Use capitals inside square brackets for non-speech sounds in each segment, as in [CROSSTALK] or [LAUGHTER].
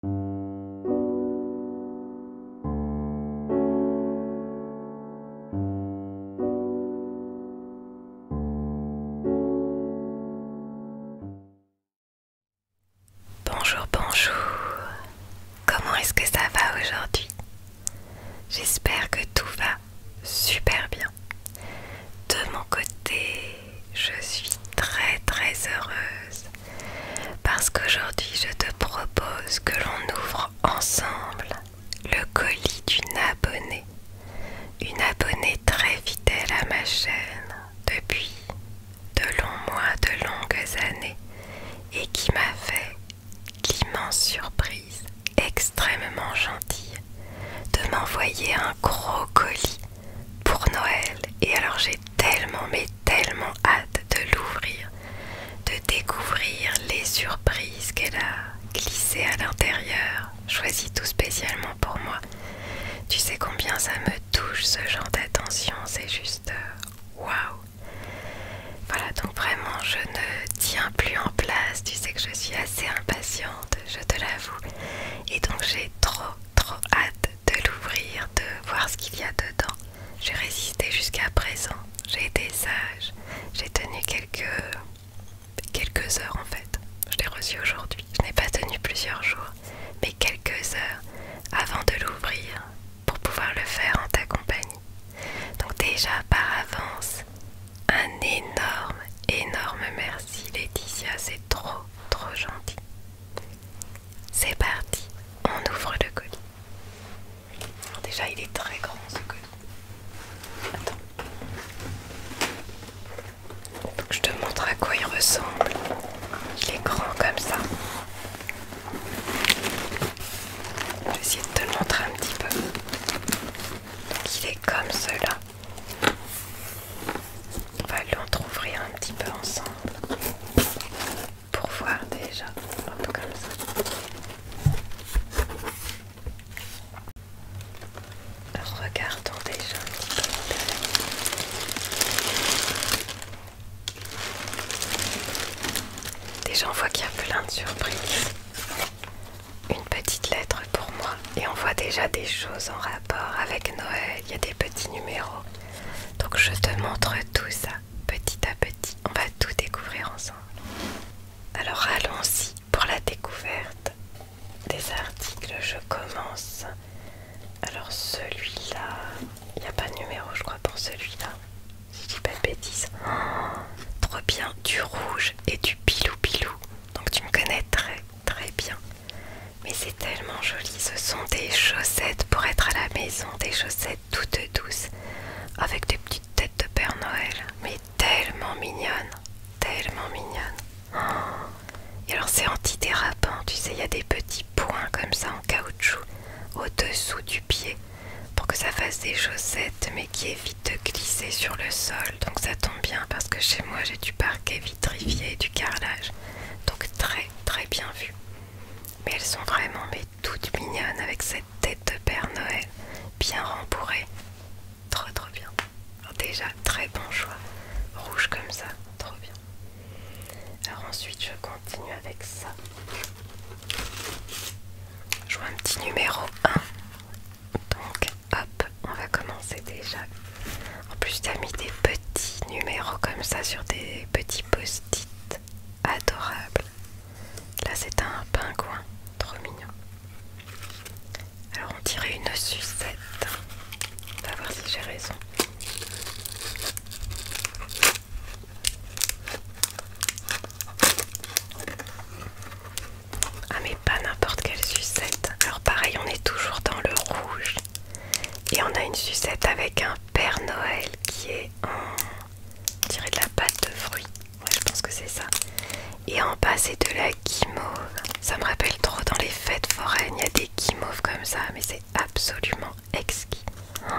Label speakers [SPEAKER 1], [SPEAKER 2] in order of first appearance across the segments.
[SPEAKER 1] Bonjour, bonjour. Comment est-ce que ça va aujourd'hui J'espère que tout va super bien. De mon côté, je suis très très heureuse parce qu'aujourd'hui je te propose que l'on ouvre ensemble le colis d'une abonnée, une abonnée très fidèle à ma chaîne depuis de longs mois, de longues années et qui m'a fait l'immense surprise extrêmement gentille de m'envoyer un gros colis pour Noël. Et alors j'ai tellement, mais tellement hâte de l'ouvrir, de découvrir les surprises qu'elle a glissées à l'intérieur, choisies tout spécialement pour moi. Tu sais combien ça me touche ce genre d'attention, c'est juste euh, waouh! Voilà, donc vraiment, je ne tiens plus en place. Tu sais que je suis assez impatiente, je te l'avoue. Et donc, j'ai trop, trop hâte de l'ouvrir, de voir ce qu'il y a dedans. J'ai résisté jusqu'à présent, j'ai été sage, j'ai tenu quelques, quelques heures en fait. Je l'ai reçu aujourd'hui, je n'ai pas tenu plusieurs jours, mais quelques heures avant de l'ouvrir pour pouvoir le faire en ta compagnie. Donc déjà par avance, un énorme, énorme merci Laetitia, c'est trop, trop gentil. C'est parti, on ouvre le colis. Déjà, il est très grand ce colis. Attends. Faut que je te montre à quoi il ressemble. Il est grand comme ça. Je vais essayer de te le montrer un petit peu. il est comme cela. On va l'entrouvrir un petit peu ensemble pour voir déjà. Regardons déjà Déjà on voit qu'il y a plein de surprises. Une petite lettre pour moi et on voit déjà des choses en rapport avec Noël. Il y a des petits numéros. Donc je te montre tout ça petit à petit. On va tout découvrir ensemble. Alors allons-y pour la découverte des articles. Je commence. Alors celui-là, il n'y a pas de numéro je crois pour celui-là. Si je dis pas de bêtises. Oh, trop bien, du rouge et du pilou pilou. Donc tu me connais Très bien. Mais c'est tellement joli. Ce sont des chaussettes pour être à la maison. Des chaussettes toutes douces. Avec des petites têtes de Père Noël. Mais tellement mignonnes. Tellement mignonnes. Oh. Et alors c'est antidérapant. Tu sais, il y a des petits points comme ça en caoutchouc. Au-dessous du pied. Pour que ça fasse des chaussettes. Mais qui évite de glisser sur le sol. Donc ça tombe bien parce que chez moi j'ai du parquet trifié et du carrelage. Donc très très bien vu. Mais elles sont vraiment mais toutes mignonnes avec cette tête de Père Noël bien rembourrée. Trop trop bien. déjà très bon choix. Rouge comme ça, trop bien. Alors ensuite je continue avec ça. Je vois un petit numéro 1. Donc hop, on va commencer déjà en plus, t'as mis des petits numéros comme ça sur des petits post-it Adorable Là, c'est un pingouin, trop mignon. Alors, on dirait une sucette. On va voir si j'ai raison. Ah mais pas n'importe quelle sucette. Alors pareil, on est toujours dans le rouge. Et on a une sucette avec un Père Noël qui est en... de la pâte de fruits. Ouais, je pense que c'est ça. Et en bas, c'est de la guimauve. Ça me rappelle trop dans les fêtes foraines, il y a des guimauves comme ça, mais c'est absolument exquis. Oh,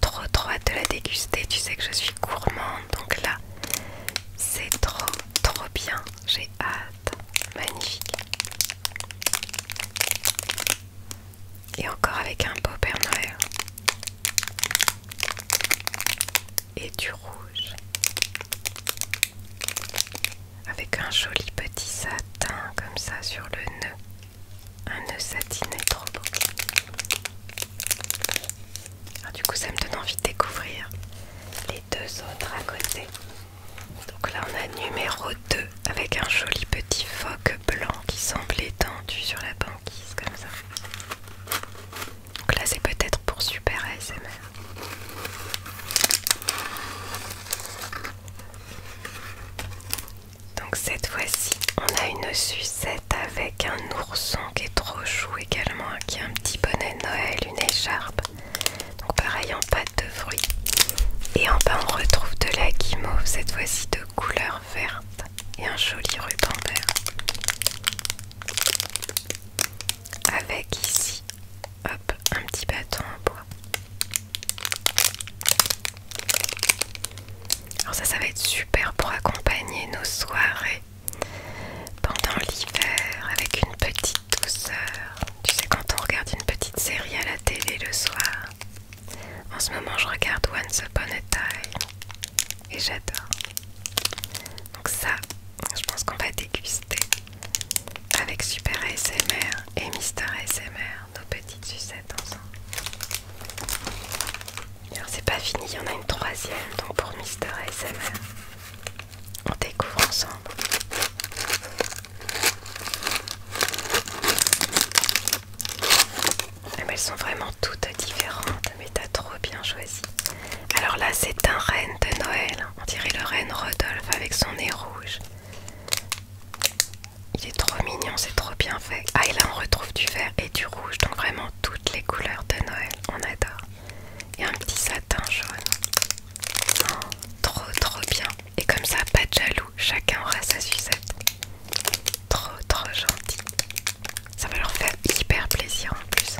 [SPEAKER 1] trop trop de la déguster, tu sais que je suis gourmande, donc là, c'est trop trop bien. Magnifique. Et encore avec un beau Père Et du rouge. Avec un joli petit satin comme ça sur le nœud. Un nœud satiné trop beau. du coup, ça me donne envie de découvrir les deux autres à côté. Donc là on a numéro 2 avec un joli petit phoque blanc qui semble étendu sur la banquise comme ça. Donc là c'est peut-être pour super ASMR. Donc cette fois-ci on a une sucette avec un ourson qui est trop chou également, qui a un petit bonnet Noël, une écharpe donc pareil en pâte de fruits. Et en bas on retrouve de la guimauve, cette fois-ci de couleur verte et un joli ruban vert. Avec ici, hop, un petit bâton en bois. Alors ça, ça va être super pour accompagner nos soirées pendant l'hiver avec une petite douceur. Tu sais, quand on regarde une petite série à la télé le soir, en ce moment je regarde Once Upon a Time et j'adore. Donc, ça, je pense qu'on va déguster avec Super ASMR et Mister ASMR nos petites sucettes ensemble. Alors, c'est pas fini, il y en a une troisième donc pour Mister ASMR on découvre ensemble. elles sont vraiment toutes différentes, mais t'as trop bien choisi. Alors là, c'est un renne de Noël. Hein. On dirait le renne Rodolphe avec son nez rouge. Il est trop mignon, c'est trop bien fait. Ah, et là, on retrouve du vert et du rouge, donc vraiment toutes les couleurs de Noël. On adore. Et un petit satin jaune trop trop bien. Et comme ça, pas de jaloux. Chacun aura sa sucette. Trop trop gentil. Ça va leur faire hyper plaisir en plus.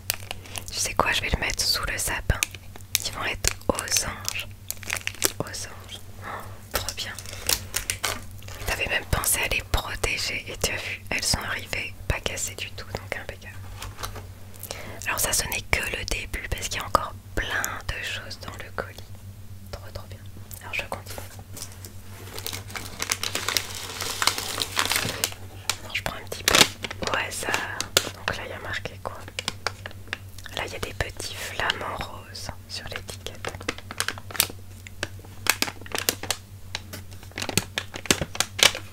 [SPEAKER 1] Tu sais quoi, je vais le mettre sous le sapin. Ils vont être aux anges. Aux anges. trop bien. T'avais même pensé à les protéger et tu as vu, elles sont arrivées, pas cassées du tout, donc alors ça ce n'est que le début parce qu'il y a encore plein de choses dans le colis. Trop trop bien. Alors je continue. Alors, je prends un petit peu au hasard. Donc là il y a marqué quoi Là il y a des petits flamants roses sur l'étiquette. Ah,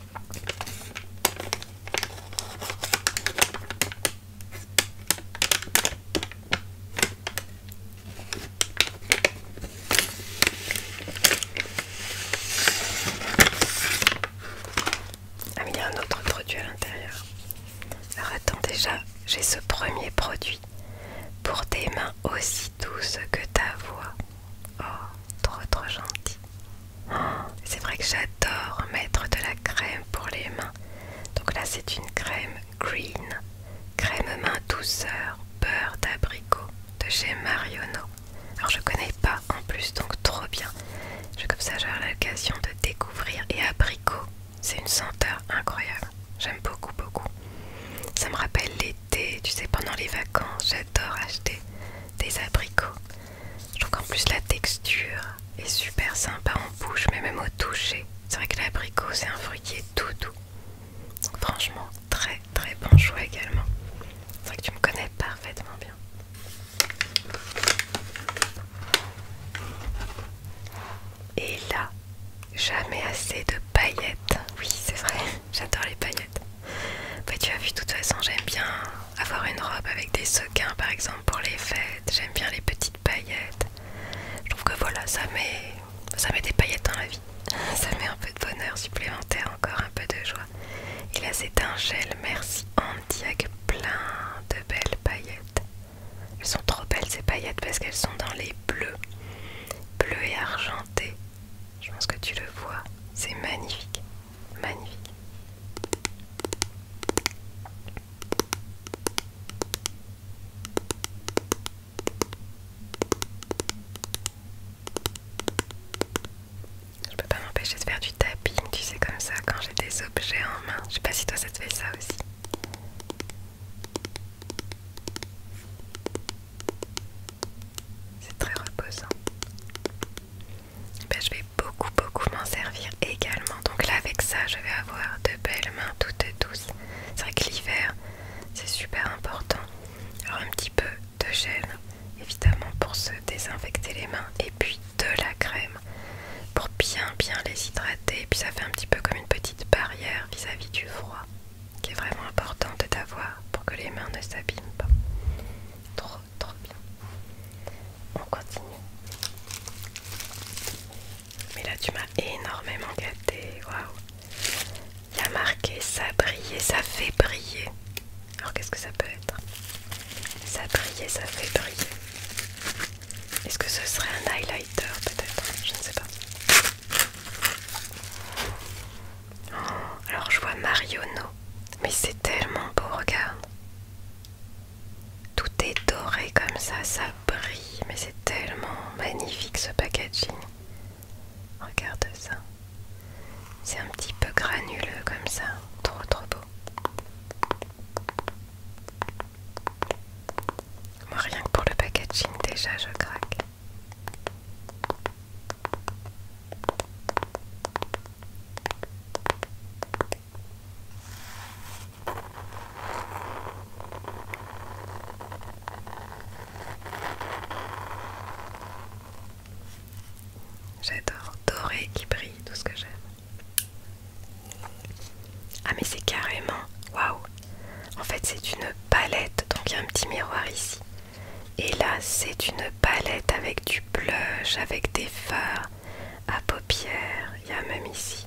[SPEAKER 1] mais il y a un autre produit à l'intérieur. Alors attends, déjà, j'ai ce premier produit. Pour tes mains aussi douces que ta voix. Oh, trop trop gentil. C'est vrai que j'adore mettre de la crème pour les mains. Donc là, c'est une crème green, crème main douceur, beurre d'abricot de chez Mariono. Alors je connais pas en plus, donc trop bien. Je, comme ça, j'aurai l'occasion de découvrir. Et abricot, c'est une senteur incroyable. J'aime beaucoup, beaucoup. Ça me rappelle l'été, tu sais, pendant les vacances, j'adore acheter des abricots. Je trouve qu'en plus la texture est super sympa en bouche, mais même au toucher. C'est vrai que l'abricot c'est un fruit qui est tout doux. franchement, très très bon choix également. C'est vrai que tu me connais parfaitement bien. Et là, jamais assez de paillettes. Oui, c'est vrai, [LAUGHS] j'adore les paillettes. Bah, tu as vu, de toute façon, j'aime bien avoir une robe avec des sequins par exemple pour les fêtes. J'aime bien les petites paillettes. Je trouve que voilà, ça met, ça met des paillettes dans la vie. [LAUGHS] Ça met un peu de bonheur supplémentaire, encore un peu de joie. Et là, c'est un gel Merci Andy plein de belles paillettes. Elles sont trop belles ces paillettes parce qu'elles sont dans les bleus, bleu et argenté. Je pense que tu le vois, c'est magnifique. Magnifique. Je peux pas m'empêcher de faire du tapping, tu sais, comme ça, quand j'ai des objets en main. Je sais pas si toi ça te fait ça aussi. C'est très reposant. Ben, je vais beaucoup beaucoup m'en servir également. Donc là avec ça je vais avoir de belles mains toutes douces. C'est vrai que l'hiver c'est super important. Alors un petit peu de gel évidemment pour se désinfecter les mains et puis de la crème pour bien bien les hydrater. Et puis ça fait un petit peu comme une petite barrière vis-à-vis du froid qui est vraiment de d'avoir pour que les mains ne s'abîment pas trop trop bien. On continue. Mais là, tu m'as énormément gâtée. Waouh! Il a marqué ça brillait, ça fait briller. Alors, qu'est-ce que ça peut être? Ça brillait, ça fait briller. Est-ce que ce serait un highlighter peut-être Je ne sais pas. Oh, alors je vois Mariono mais c'est tellement beau, regarde. Tout est doré comme ça, ça brille, mais c'est tellement magnifique ce packaging. Regarde ça. C'est un petit peu granuleux comme ça, trop trop beau. Moi rien que pour le packaging déjà je craque. J'adore, doré qui brille, tout ce que j'aime. Ah mais c'est carrément, waouh En fait c'est une palette, donc il y a un petit miroir ici. Et là, c'est une palette avec du blush, avec des fards à paupières. Il y a même ici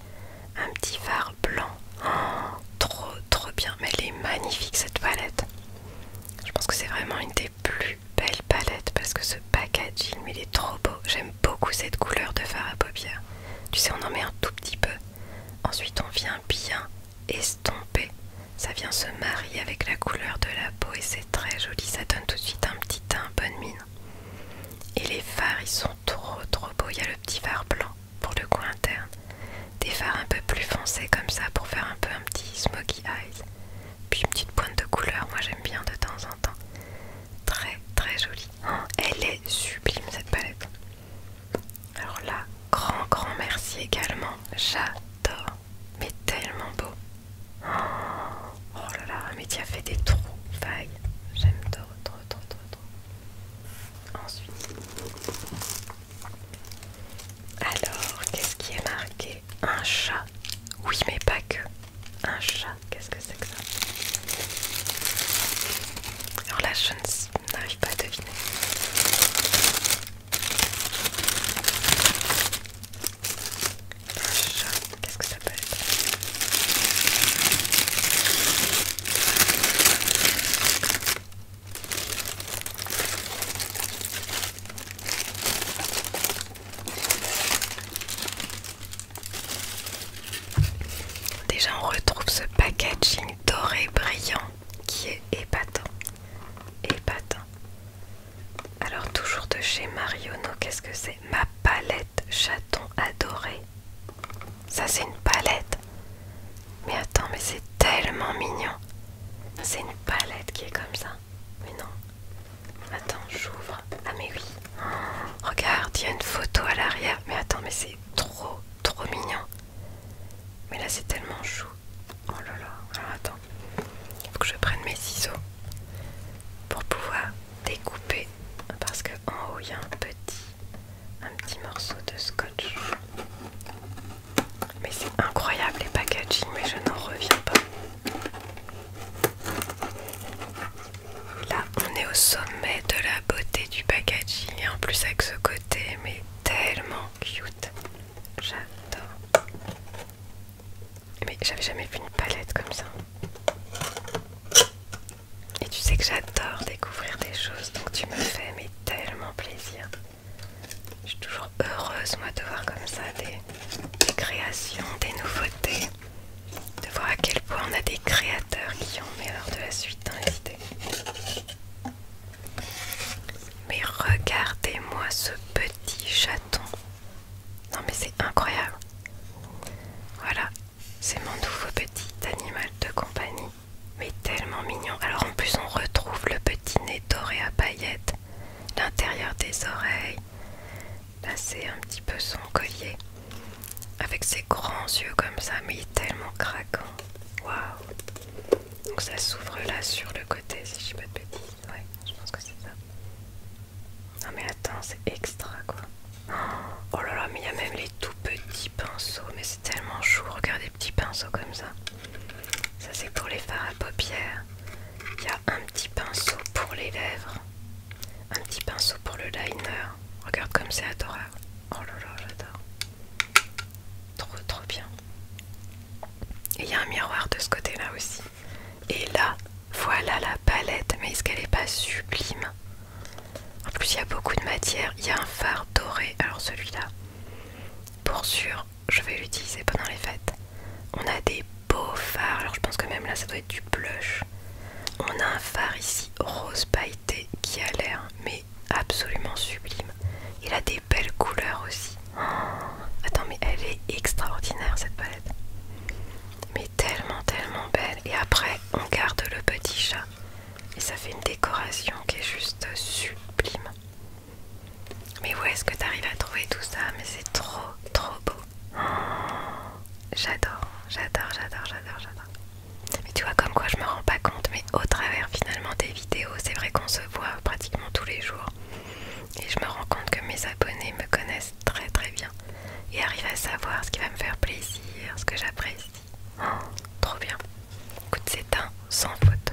[SPEAKER 1] un petit fard blanc. Oh, trop, trop bien. Mais elle est magnifique cette palette. Je pense que c'est vraiment une des plus belles palettes parce que ce packaging, il est trop beau. J'aime beaucoup cette couleur de fard à paupières. Tu sais, on en met un tout petit peu. Ensuite, on vient bien estomper. Ça vient se marier avec la couleur de la peau très joli, ça donne tout de suite un petit teint, bonne mine. Et les fards, ils sont trop trop beaux. Il y a le petit fard blanc pour le coin interne. Des fards un peu plus foncés comme ça pour faire un peu un petit smoky eyes. Puis une petite pointe de couleur, moi j'aime bien de temps en temps. Très très jolie. Oh, elle est sublime cette palette. Alors là, grand grand merci également. J'adore mais tellement beau. Oh, là là, mais tu as fait des trous, vagues. J'aime trop, trop, trop, trop, trop. Ensuite, alors, qu'est-ce qui est marqué Un chat. Oui, mais pas que. Un chat, qu'est-ce que c'est que ça alors là, je n'arrive pas à deviner. Qu'est-ce que ça Déjà on retrouve ce packaging doré brillant qui est épatant. Épatant. Alors toujours de chez Mariono, qu'est-ce que c'est Ma palette chaton adoré. Ça c'est une palette. Mais attends, mais c'est tellement mignon. C'est une palette qui est comme ça. Mais non. Attends, j'ouvre. Ah mais oui. regarde, il y a une photo à l'arrière. Mais attends, mais c'est trop, trop mignon. Mais là c'est tellement chou. Oh là là, alors attends. il Faut que je prenne mes ciseaux pour pouvoir découper parce que en haut il y a un petit un petit morceau de scotch. Mais c'est incroyable les packaging, mais je n'en reviens pas. Là, on est au sommet de la beauté du packaging et en plus avec ce côté mais tellement cute. J'adore. Mais j'avais jamais vu une palette comme ça. Et tu sais que j'adore découvrir des choses, donc tu me fais tellement plaisir. Je suis toujours heureuse moi de voir comme ça des, créations, des nouveautés, de voir à quel point on a des créateurs qui ont meilleur de la suite dans les idées. Mais regardez-moi ce petit chaton. Non mais c'est incroyable. Voilà, c'est mon nouveau petit animal de compagnie. Mais tellement mignon. Alors en plus on retrouve le petit nez doré à paillettes, l'intérieur des oreilles. Là c'est un petit peu son collier. Avec ses grands yeux comme ça, mais il est tellement craquant. Waouh Donc ça s'ouvre là sur le côté si je suis pas de Ouais, je pense que c'est ça. Non mais attends, c'est extra quoi. Oh là là, mais il y a même les tout petits pinceaux, mais c'est tellement chou. Regarde les petits pinceaux comme ça. Ça c'est pour les fards à paupières. Il y a un petit pinceau pour les lèvres. Un petit pinceau pour le liner. Regarde comme c'est adorable. Oh là là, j'adore. Trop trop bien il y a un miroir de ce côté-là aussi. Et là, voilà la palette. Mais est-ce qu'elle n'est pas sublime En plus, il y a beaucoup de matière. Il y a un phare doré. Alors celui-là, pour sûr, je vais l'utiliser pendant les fêtes. On a des beaux phares. Alors je pense que même là, ça doit être du blush. On a un phare ici rose pailleté qui a l'air mais absolument sublime. Il a des Belle couleur aussi. attends, mais elle est extraordinaire cette palette. Mais tellement, tellement belle. Et après, on garde le petit chat. Et ça fait une décoration qui est juste sublime. Mais où est-ce que tu arrives à trouver tout ça Mais c'est trop, trop beau. j'adore, j'adore, j'adore, j'adore, j'adore. Mais tu vois, comme quoi je me rends pas compte, mais au travers finalement des vidéos, c'est vrai qu'on se voit pratiquement tous les jours. Et je me rends compte que mes abonnés me connaissent très très bien et arrivent à savoir ce qui va me faire plaisir, ce que j'apprécie. Oh, trop bien. Écoute, c'est un sans faute.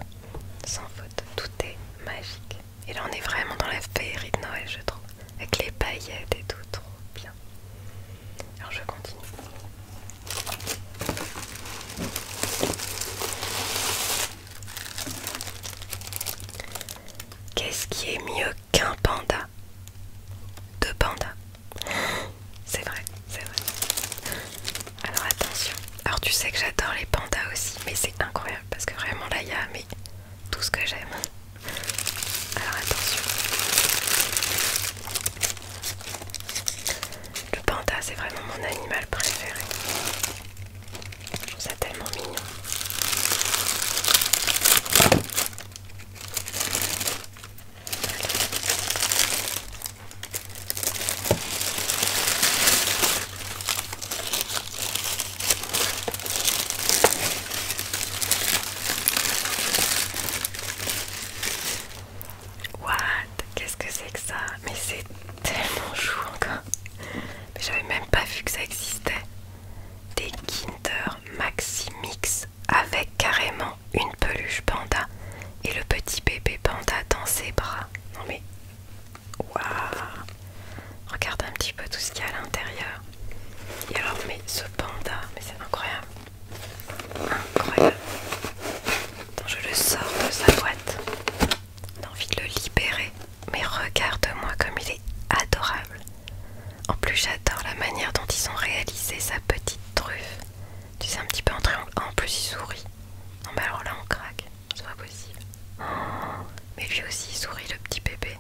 [SPEAKER 1] Sans faute. Tout est magique. Et là, on est vraiment dans la féerie de Noël, je trouve. Avec les paillettes et tout, trop bien. Alors, je continue. Qu'est-ce qui est mieux qu'un panda Deux pandas. C'est vrai, c'est vrai. Alors attention. Alors tu sais que j'adore les pandas aussi, mais c'est incroyable parce que vraiment là il y a mais, tout ce que j'aime. Alors attention. Le panda c'est vraiment mon animal préféré ça tellement mignon. Qu'est-ce que c'est que ça Mais c'est tellement chou encore. Mais j'avais même pas vu que ça existait. Des Kinder Maxi Mix avec carrément une peluche panda et le petit bébé panda dans ses bras. Non mais waouh Regarde un petit peu tout ce qu'il y a à l'intérieur. Et alors mais ce panda, mais c'est incroyable. Incroyable. je le sors de sa boîte. On envie de le libérer. Mais regarde-moi comme il est adorable. En plus, j'adore la manière dont ils ont réalisé sa petite truffe. Tu sais, un petit peu en en plus, il sourit. Non, mais alors là, on craque. C'est pas possible. mais lui aussi, il sourit, le petit bébé.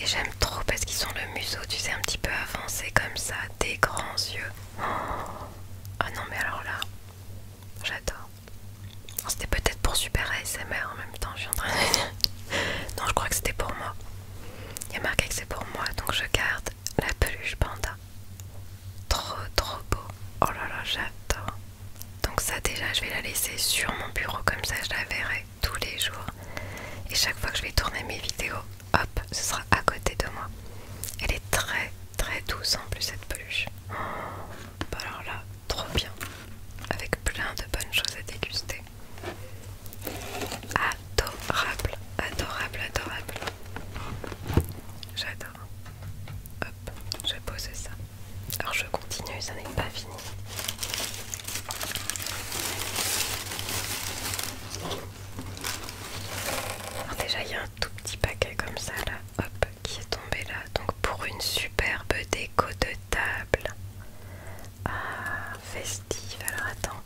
[SPEAKER 1] Et j'aime trop parce qu'ils ont le museau, tu sais, un petit peu avancé comme ça, des grands yeux. Ah non, mais alors là, j'adore. C'était peut-être pour Super ASMR en même temps, je suis en train de [LAUGHS] Non, je crois que c'était pour moi. Il y a marqué que c'est pour moi, donc je garde la peluche panda. Trop trop beau. Oh là là, j'adore. Donc ça déjà, je vais la laisser sur mon bureau, comme ça je la verrai tous les jours. Et chaque fois que je vais tourner mes vidéos, hop, ce sera à côté de moi. Elle est très très douce en plus cette peluche. Oh. Bah alors là, trop bien, avec plein de bonnes choses à déguster. Adorable, adorable, adorable. J'adore. Hop, je poser ça. Alors je continue, ça n'est pas fini. déjà il y a un tout petit paquet comme ça là hop, qui est tombé là. Donc pour une superbe déco de table. Ah, festive. Alors attends.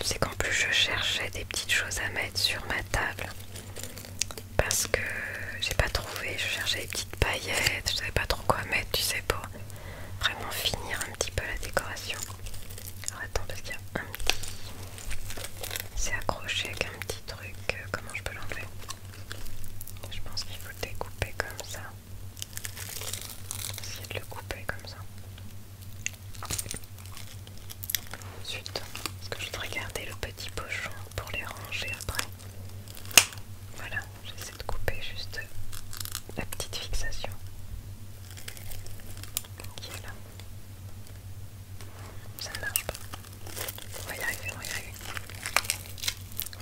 [SPEAKER 1] Tu sais qu'en plus je cherchais des petites choses à mettre sur ma table. Parce que j'ai pas trouvé. Je cherchais des petites paillettes. Je savais pas trop quoi mettre, tu sais, pour vraiment finir un petit peu la décoration. Alors attends, parce qu'il y a un petit... C'est accroché avec un petit truc. Euh, comment je peux l'enlever Je pense qu'il faut le découper comme ça. Essayer de le couper comme ça. Ensuite, est-ce que je voudrais garder le petit pochon pour les ranger après. Voilà, j'essaie de couper juste la petite fixation qui est là. Ça ne marche pas. On va y arriver, on y arriver.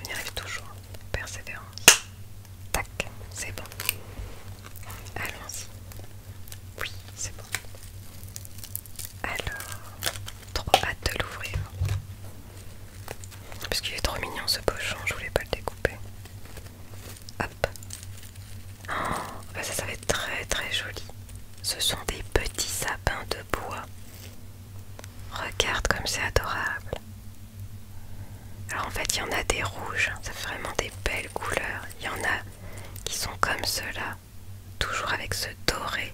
[SPEAKER 1] On y arrive toujours. Persévérance. Tac, c'est bon. Allons-y. Oui, c'est bon. Alors, trop hâte de l'ouvrir. Parce qu'il est trop mignon ce pochon, je voulais pas le découper. Hop. Oh, bah ça, ça très très joli. Ce sont des petits sapins de bois. Regarde comme c'est adorable. Alors en fait, il y en a des rouges, hein, ça fait vraiment des belles couleurs. Il y en a qui sont comme ceux-là, toujours avec ce doré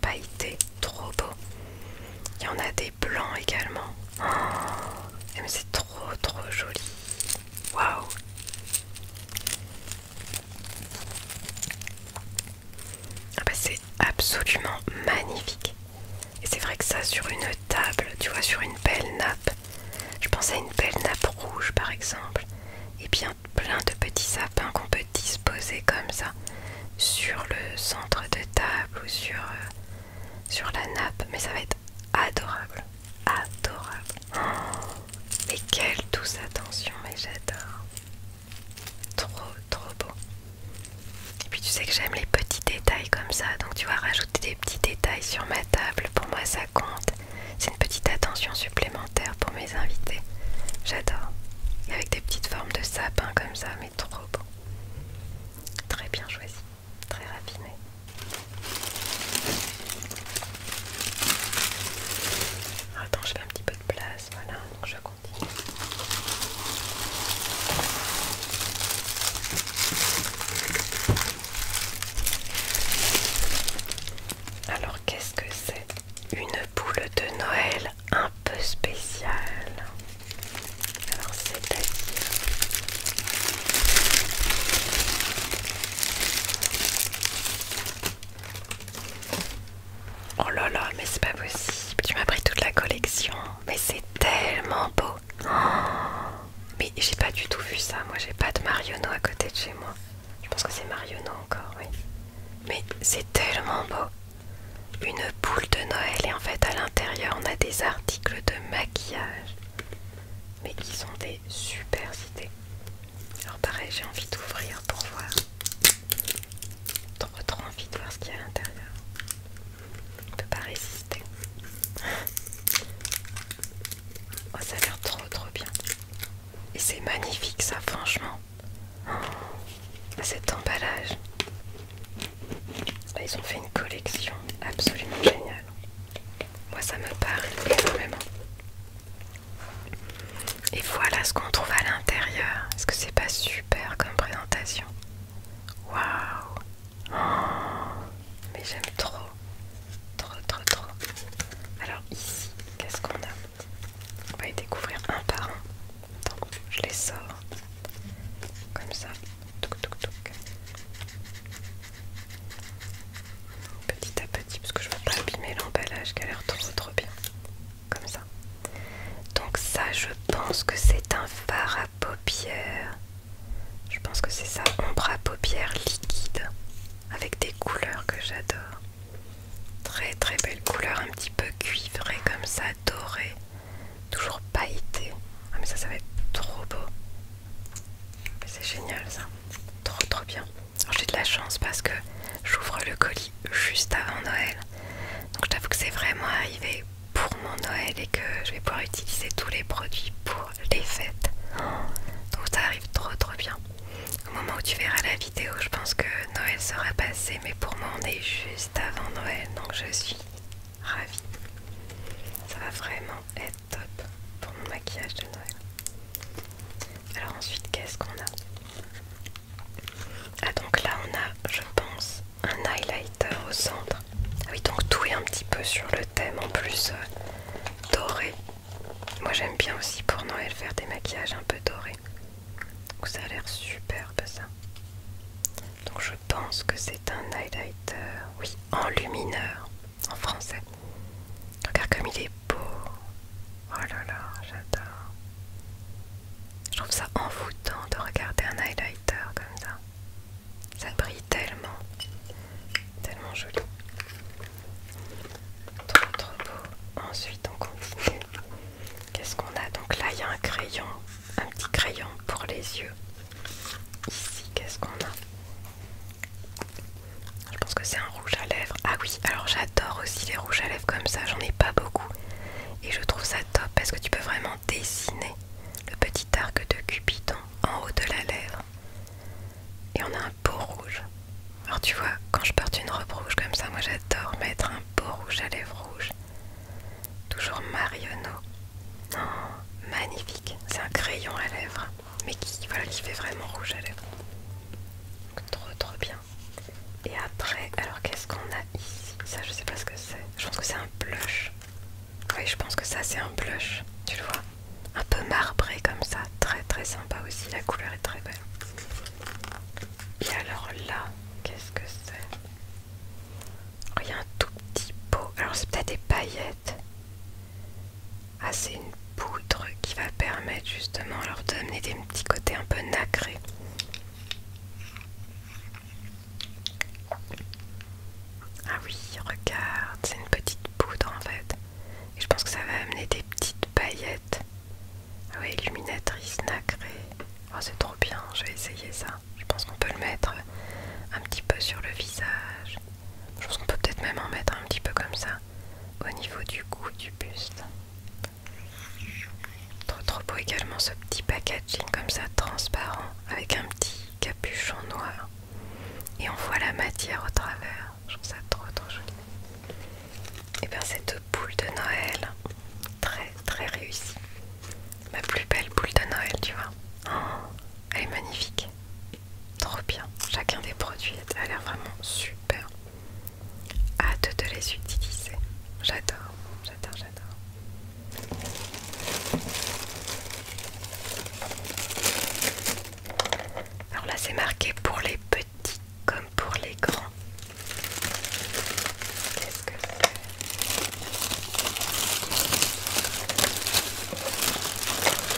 [SPEAKER 1] pailleté, trop beau. Il y en a des blancs également. Oh, mais c'est trop trop joli. Waouh! Ah bah c'est absolument magnifique. Et c'est vrai que ça sur une table, tu vois, sur une belle nappe. Je pense à une belle nappe rouge par exemple. Et bien plein de petits sapins qu'on peut disposer comme ça sur le centre de table ou sur, euh, sur la nappe. Mais ça va être adorable. Adorable. Oh, et quelle douce attention, mais j'adore. Trop, trop beau. Et puis tu sais que j'aime les petits détails comme ça, donc tu vois, rajouter des petits détails sur ma table, pour moi ça compte. C'est une petite attention supplémentaire pour mes invités. J'adore. Avec des petites formes de sapin comme ça, mais trop beau. Très bien choisi, très raffiné. Attends, j'ai un petit peu de place, voilà, donc je continue. Alors qu'est-ce que c'est Une boule de Noël un peu spéciale. Alors c'est-à-dire... Oh là là, mais c'est pas possible. Tu m'as pris toute la collection. Mais c'est tellement beau. [GASPS] mais j'ai pas du tout vu ça. Moi, j'ai pas de Mariono à côté de chez moi. Je pense que c'est Mariono encore, oui. Mais c'est tellement beau. Une boule de Noël. Et en fait, à l'intérieur, on a des articles de maquillage. Mais qui sont des super cités alors pareil, j'ai envie d'ouvrir pour voir. Trop trop envie de voir ce qu'il y a à l'intérieur. ne peux pas résister. Oh, ça a l'air trop trop bien. Et c'est magnifique ça, franchement. cet emballage. Ils ont fait une collection absolument géniale. Moi ça me parle énormément. Et voilà ce qu'on trouve à l'intérieur. Est-ce que c'est pas super comme présentation Waouh Mais j'aime trop. Trop, trop, trop. Alors ici, qu'est-ce qu'on a On va y découvrir un par un. Donc, je les sors. Comme ça. Toc, petit à petit parce que je veux pas abîmer l'emballage qui a l'air trop trop bien comme ça donc ça je pense que c'est un fard à paupières je pense que c'est ça ombre à paupières liquide avec des couleurs que j'adore très très belle couleur un petit peu cuivrée comme ça dorée toujours pailleté ah mais ça ça va être trop beau c'est génial ça trop trop bien j'ai de la chance parce que j'ouvre le colis juste avant Noël. Donc je t'avoue que c'est vraiment arrivé pour mon Noël et que je vais pouvoir utiliser tous les produits pour les fêtes. Donc ça arrive trop trop bien. Au moment où tu verras la vidéo, je pense que Noël sera passé, mais pour moi on est juste avant Noël, donc je suis ravie. Ça va vraiment être top pour mon maquillage de Noël. Alors ensuite, qu'est-ce qu'on a Ah donc là, on a, je pense, un highlighter au centre. Ah oui, donc tout est un petit peu sur le thème en plus euh, doré. Moi, j'aime bien aussi pour Noël faire des maquillages un peu dorés. Donc ça a l'air superbe ça. Donc je pense que c'est un highlighter, oui, en lumineur en français. Regarde comme il est beau. Oh là là, j'adore. Je trouve ça envoûtant de regarder un highlighter comme ça. Ça brille tellement. Tellement joli. Trop trop beau. Ensuite on continue. Qu'est-ce qu'on a Donc là il y a un crayon. Un petit crayon pour les yeux. Ici qu'est-ce qu'on a je pense que c'est un rouge à lèvres. Ah oui, alors j'adore aussi les rouges à lèvres comme ça, j'en ai pas beaucoup. Et je trouve ça top parce que tu peux vraiment dessiner le petit arc de Cupidon en haut de la lèvre. Et on a un beau rouge. Alors tu vois, quand je porte une robe rouge comme ça, moi j'adore mettre un beau rouge à lèvres rouge. Toujours Marionneau. Non, magnifique, c'est un crayon à lèvres mais qui, voilà, qui fait vraiment rouge à lèvres. trop trop bien. Et après, alors qu'est-ce qu'on a ici Ça, je sais pas ce que c'est. Je pense que c'est un blush. Oui, je pense que ça, c'est un blush. Tu le vois Un peu marbré comme ça. Très très sympa aussi. La couleur est très belle. Et alors là, qu'est-ce que c'est oh, Il y a un tout petit pot. Alors, c'est peut-être des paillettes. Ah, c'est une poudre qui va permettre justement leur d'amener des petits côtés un peu nacrés. Ah oui, regarde, c'est une petite poudre en fait. Et je pense que ça va amener des petites paillettes. Ah oui, illuminatrice nacrée. Oh, ah, c'est trop bien, je vais essayer ça. Je pense qu'on peut le mettre un petit peu sur le visage. Je pense qu'on peut peut-être même en mettre un petit peu comme ça au niveau du goût du buste. Trop, trop beau également ce petit packaging comme ça transparent avec un petit capuchon noir. Et on voit la matière au travers. Je trouve ça trop trop joli. Et eh bien cette boule de Noël, très très réussie. Ma plus belle boule de Noël, tu vois. Oh, elle est magnifique. Trop bien. Chacun des produits a l'air vraiment super. Hâte de les utiliser. J'adore, j'adore, j'adore. Alors là, c'est marqué pour les petits comme pour les grands. ce que c'est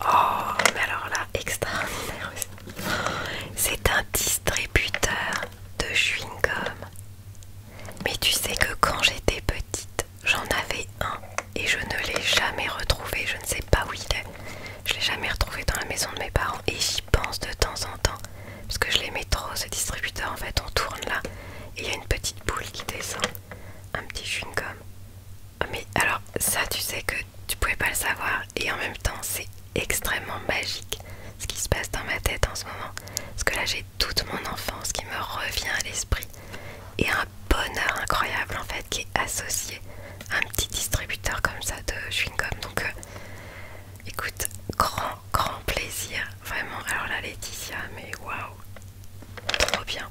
[SPEAKER 1] Oh, mais alors là, extraordinaire C'est un distributeur de chewing-gum. Mais tu sais que quand j'étais petite, j'en avais un et je ne l'ai jamais retrouvé. Je ne sais pas où il est. Je l'ai jamais retrouvé dans la maison de mes parents et j'y pense de temps en temps parce que je l'aimais trop ce distributeur. En fait, on tourne là et il y a une petite boule qui descend, un petit chewing-gum. Mais alors ça tu sais que tu pouvais pas le savoir et en même temps c'est extrêmement magique ce qui se passe dans ma tête en ce moment. Parce que là j'ai toute mon enfance qui me revient à l'esprit et un bonheur incroyable en fait qui est associé à un petit distributeur comme ça de chewing-gum. Donc euh, écoute, grand grand plaisir vraiment. Alors là Laetitia mais waouh, trop bien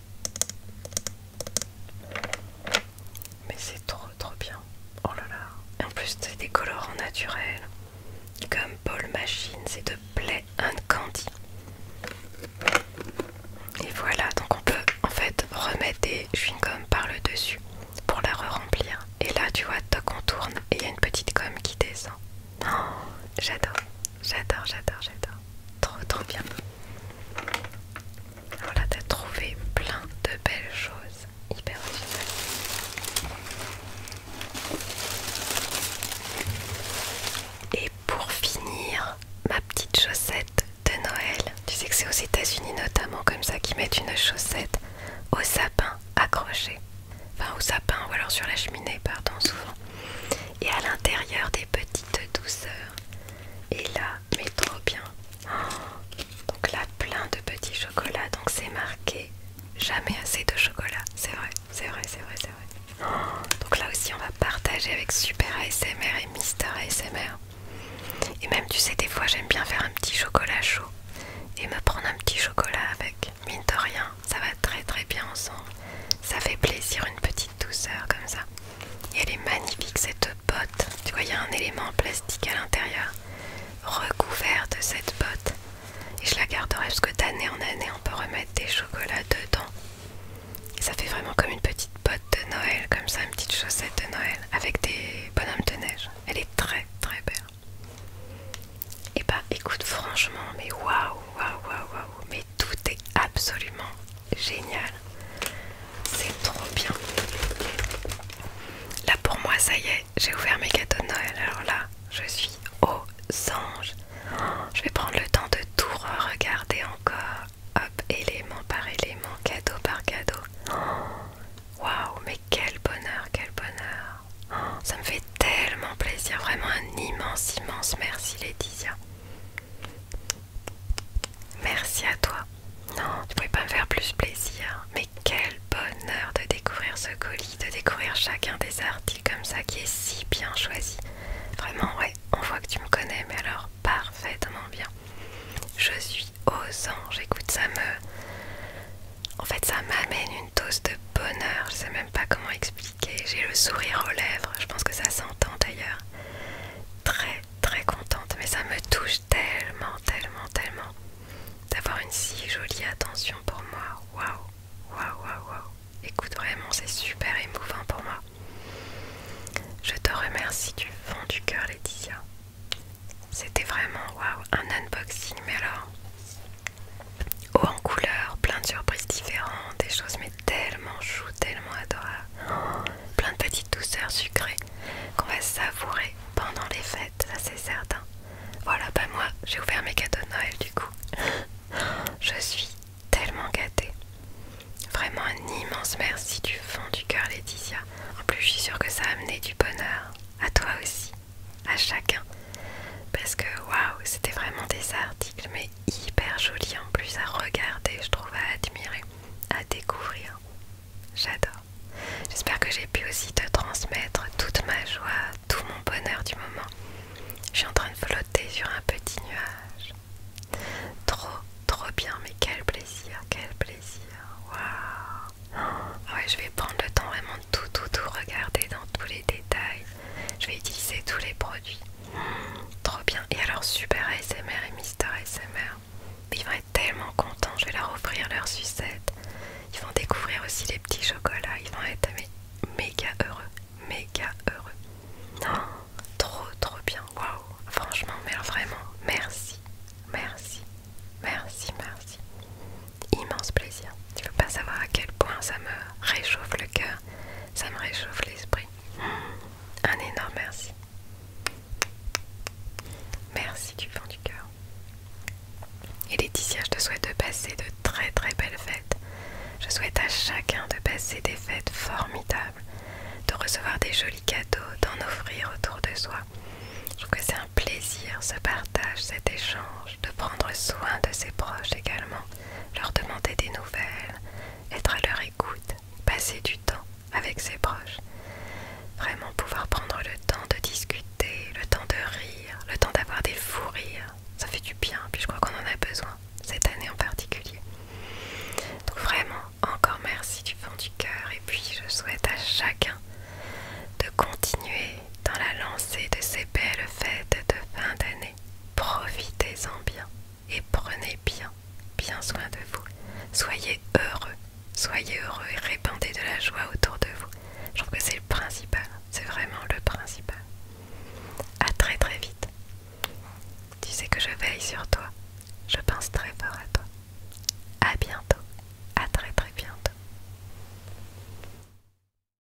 [SPEAKER 1] Mais c'est trop trop bien. Oh là là. En plus c'est des colorants naturels. Comme Paul Machine, c'est de Play and Candy. Et voilà, donc on peut en fait remettre des chewing-gums par le dessus pour la remplir Et là tu vois, toc on tourne et il y a une petite gomme qui descend. Non, oh, j'adore, j'adore, j'adore, j'adore. Trop, trop bien. Alors là, t'as trouvé plein de belles choses. Hyper originales. Et pour finir, ma petite chaussette de Noël. Tu sais que c'est aux États-Unis notamment comme ça qu'ils mettent une chaussette au sapin accroché. Enfin, au sapin ou alors sur la cheminée, pardon, souvent et à l'intérieur des petites douceurs. Et là, mais trop bien. Oh, donc là, plein de petits chocolats. Donc c'est marqué jamais assez de chocolat. C'est vrai, c'est vrai, c'est vrai, c'est vrai. Oh, donc là aussi, on va partager avec Super ASMR et Mister ASMR. Et même, tu sais, des fois, j'aime bien faire un petit chocolat chaud et me prendre un petit chocolat avec. Mine de rien, ça va très très bien ensemble. Ça fait plaisir, une petite douceur comme ça. Et elle est magnifique cette botte. Tu vois, il y a un élément plastique à l'intérieur, recouvert de cette botte. Et je la garderai parce que d'année en année, on peut remettre des chocolats dedans. ça fait vraiment comme une petite botte de Noël, comme ça, une petite chaussette de Noël, avec des bonhommes de neige. Elle est très très belle. Et eh bah ben, écoute, franchement, mais waouh, waouh, waouh, waouh, tout est absolument génial. C'est trop bien. Là pour moi, ça y est, j'ai ouvert mes cadeaux de Noël. Alors là, je suis aux anges. Oh, je vais prendre le temps de tout regarder encore. Hop, élément par élément, cadeau par cadeau. Oh, waouh, mais quel bonheur, quel bonheur. Oh, ça me fait tellement plaisir, vraiment un immense, immense merci Laetitia. Merci à toi. Non, tu pouvais pas me faire plus plaisir. Mais quel bonheur de découvrir ce colis, de découvrir chacun des articles comme ça qui est si bien choisi. Vraiment, ouais, on voit que tu me connais, mais alors parfaitement bien. Je suis aux anges, écoute, ça me... En fait, ça m'amène une dose de bonheur, Ça pas comment expliquer. J'ai le sourire aux lèvres, je pense que ça s'entend d'ailleurs. Très très contente, mais ça me touche tellement, tellement, tellement d'avoir une si jolie attention pour moi. Waouh, waouh, waouh, waouh. Écoute, vraiment, c'est super émouvant pour moi. Je te remercie du fond du cœur, Laetitia. C'était vraiment waouh, un unboxing, mais alors Oh en couleur, plein de surprises différentes, des choses mais tellement chou, tellement adorables, [GASPS] plein de petites douceurs sucrées qu'on va savourer pendant les fêtes, ça c'est certain. Voilà, bah moi j'ai ouvert mes cadeaux de Noël du coup. [GASPS] Je suis tellement gâtée. Vraiment un immense merci du fond du cœur Laetitia. En plus je suis sûre que ça a amené du bonheur à toi aussi, à chacun. Parce que waouh, c'était vraiment des articles mais hyper joli en plus à regarder, je trouve, à admirer, à découvrir. J'adore. J'espère que j'ai pu aussi te transmettre toute ma joie, tout mon bonheur du moment. Je suis en train de flotter sur un petit nuage. Trop, trop bien, mais quel plaisir, quel plaisir. Waouh! Ouais, je vais prendre le temps vraiment de tout, tout, tout regarder dans tous les détails. Je vais utiliser tous les produits. Trop bien. Et alors Super ASMR et Mister ASMR. ils vont être tellement contents. Je vais leur offrir leur sucettes Ils vont découvrir aussi les petits chocolats. Ils vont être méga heureux. Méga heureux. Non, oh, trop trop bien. Waouh. Franchement, mais vraiment, merci. Merci. Merci, merci. Immense plaisir. Tu veux pas savoir à quel point ça me réchauffe le cœur ça me réchauffe l'esprit. Un énorme merci. Merci du fond du cœur. Et Laetitia, je te souhaite de passer de très très belles fêtes. Je souhaite à chacun de passer des fêtes formidables, de recevoir des jolis cadeaux, d'en offrir autour de soi. Je trouve que c'est un plaisir, ce partage, cet échange, de prendre soin de ses proches également leur demander des nouvelles, être à leur écoute, passer du temps avec ses proches, vraiment pouvoir prendre le temps de discuter, le temps de rire, le temps d'avoir des fous rires, ça fait du bien, puis je crois qu'on en a besoin, cette année en particulier. Donc vraiment, encore merci du fond du cœur, et puis je souhaite à chacun de continuer dans la lancée de ces belles fêtes de fin d'année Profitez-en bien et prenez bien, bien soin de vous. Soyez heureux, soyez heureux et répandez de la joie autour de vous. Je trouve que c'est le principal, c'est vraiment le principal. À très très vite. Tu sais que je veille sur toi, je pense très fort à toi. À bientôt, à très très bientôt.